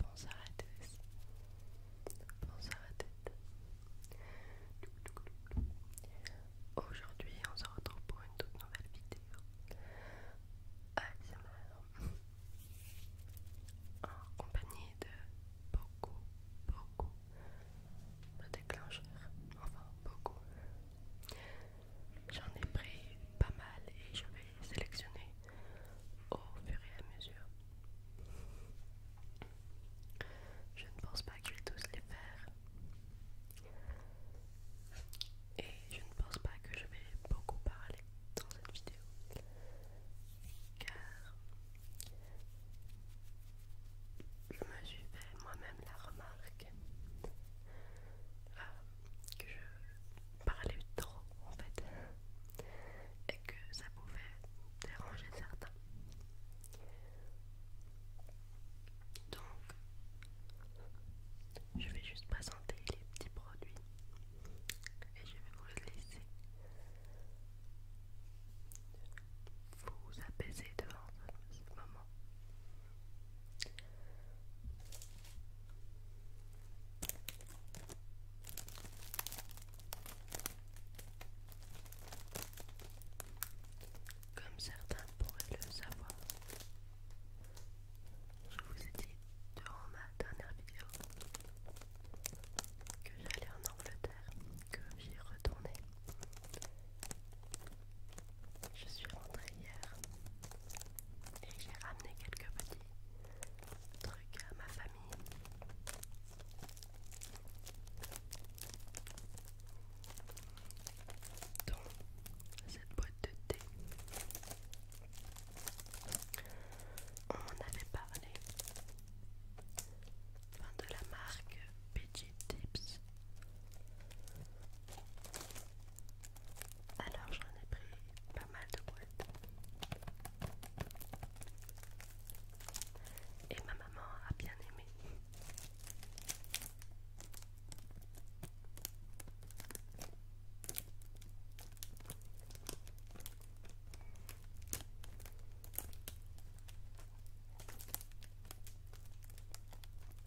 Bonsoir à tous. Bonsoir à toutes. Aujourd'hui, on se retrouve pour une toute nouvelle vidéo. ASMR. En compagnie de beaucoup, beaucoup de déclencheurs. Enfin, beaucoup. J'en ai pris pas mal et je vais sélectionner au fur et à mesure. Je ne pense pas que je vais tous les faire. Et je ne pense pas que je vais beaucoup parler dans cette vidéo. Car je me suis fait moi-même la remarque euh, que je parler trop en fait et que ça pouvait déranger certains. Donc, je vais juste présenter les petits produits et je vais vous laisser vous apaiser devant ce moment. Comme certains pourraient le savoir, je vous ai dit durant ma dernière vidéo que j'allais en Angleterre, que j'y retournais je suis rentrée hier et j'ai ramené quelques petits trucs à ma famille. Dont cette boîte de thé. On avait parlé de la marque PG Tips. Alors j'en ai pris pas mal de boîtes. Et ma maman a bien aimé.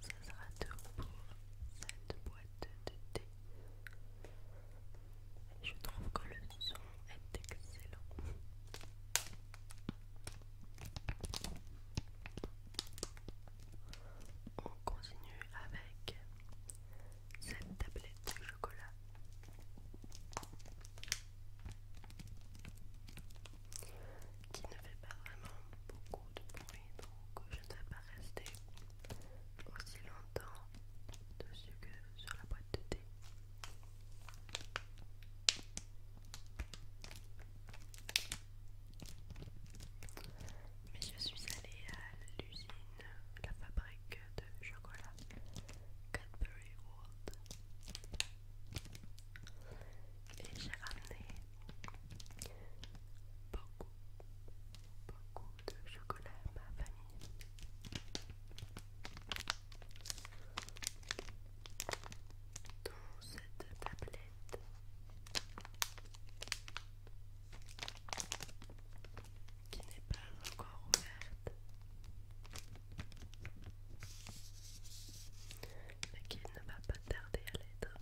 Ça sera tout pour cette boîte de thé. Je trouve que le son est excellent. On continue avec cette tablette de chocolat qui ne fait pas vraiment beaucoup de bruit, donc je ne vais pas rester aussi longtemps dessus que sur la boîte de thé. Mais je suis allée à l'usine, la fabrique de chocolat Et j'ai ramené beaucoup, beaucoup de chocolat à ma famille. Dans cette tablette qui n'est pas encore ouverte mais qui ne va pas tarder à l'être.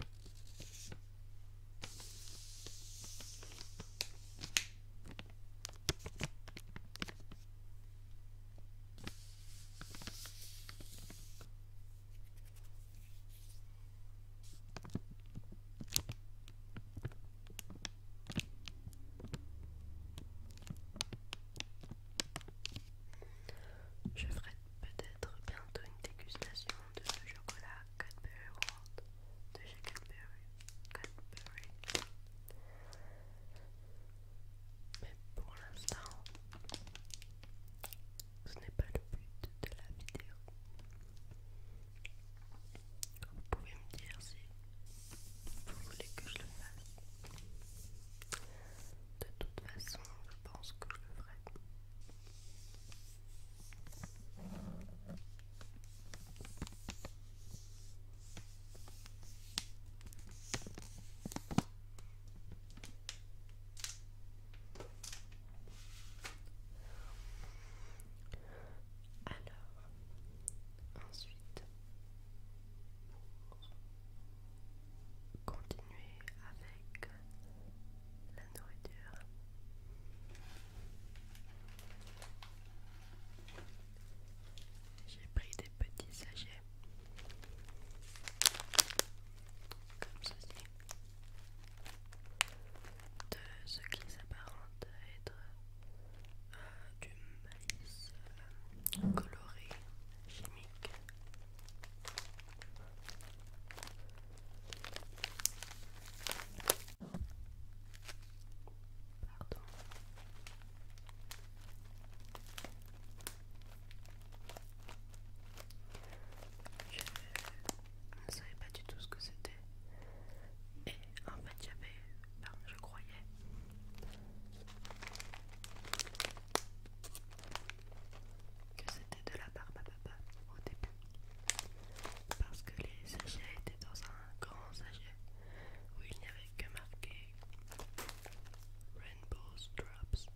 Je ferai peut-être bientôt une dégustation de ce chocolat Cadbury World de chez Cadbury. Mais pour l'instant, ce n'est pas le but de la vidéo. Vous pouvez me dire si vous voulez que je le fasse De toute façon, je pense que je le ferai. Alors, ensuite, pour continuer avec la nourriture, j'ai pris des petits sachets comme ceci de ce qui s'apparente à être euh, du maïs euh, coloré chimique. Pardon. Je ne savais pas du tout ce que c'était. Et en fait, j'avais je croyais. Que c'était de la barbe au début. Parce que les sachets étaient dans un grand sachet où il n'y avait que marqué Rainbow Drops.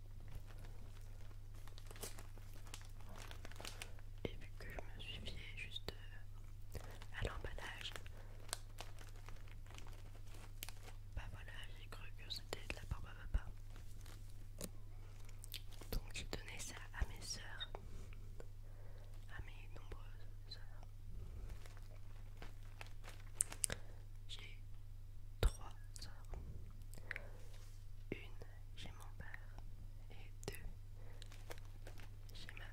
Et vu que je me suis fiée juste euh, à l'emballage, bah voilà, j'ai cru que c'était de la barbe à papa. Donc j'ai donné ça à mes sœurs, à mes nombreuses soeurs. J'ai trois soeurs. Une, j'ai mon père. Et deux, j'ai ma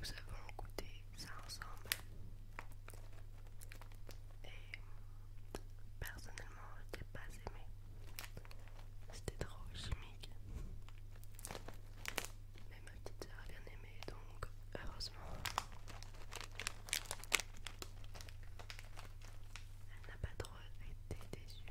nous avons goûté ça ensemble. Et personnellement, je pas aimé. C'était trop chimique. Mais ma petite soeur a bien aimé, donc heureusement. Elle n'a pas trop été déçue.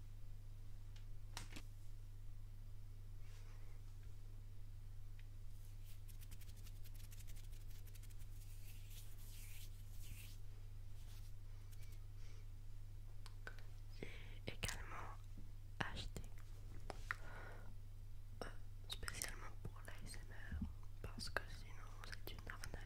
Et également acheté euh, spécialement pour l'ASMR parce que sinon c'est une arnaque.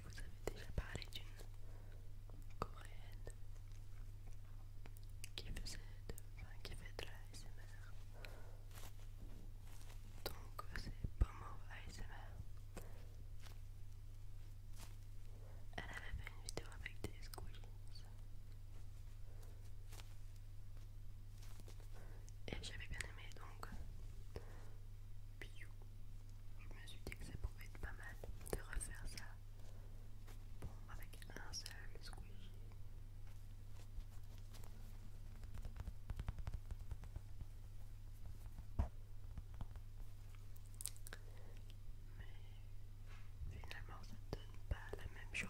vous avez déjà parlé d'une coréenne qui faisait de, enfin, qui fait de la Donc euh, c'est Pomo ASMR. Elle avait fait une vidéo avec des squish Et j'avais bien aimé donc. Euh, je me suis dit que ça pouvait être pas mal de refaire ça bon, avec un seul squeeze, Mais finalement ça ne donne pas la même chose.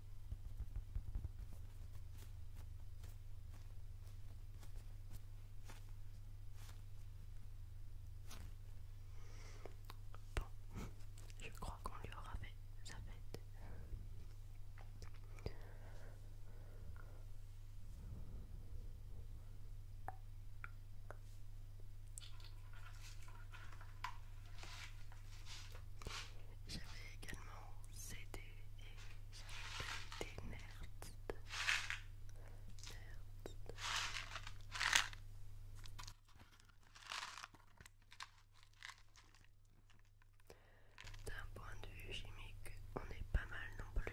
Bon, je crois qu'on lui aura fait sa fête. J'avais également cédé d'un point de vue chimique, on est pas mal non plus.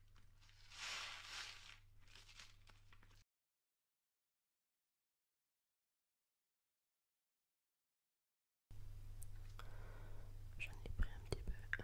J'en ai pris un petit peu.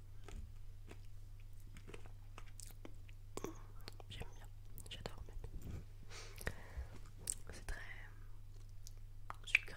J'aime bien, j'adore même. C'est très sucré.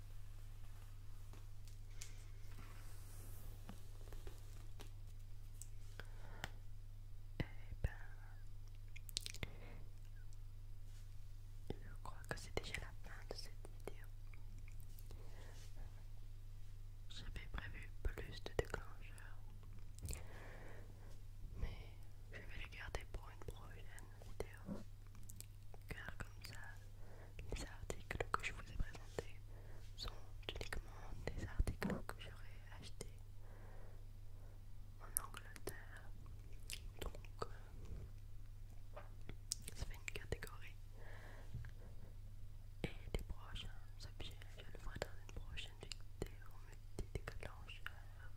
Eh ben, je crois que c'est déjà la fin de cette vidéo. J'avais prévu plus de déclencheurs, mais je vais les garder pour une prochaine vidéo car comme ça, les articles que je vous ai présentés sont uniquement des articles que j'aurais achetés en Angleterre. Donc, euh, ça fait une catégorie. Et les prochains objets, je le ferai dans une prochaine vidéo multi-déclencheur.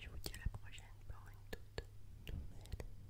Je vous dis à la prochaine pour une toute nouvelle vidéo.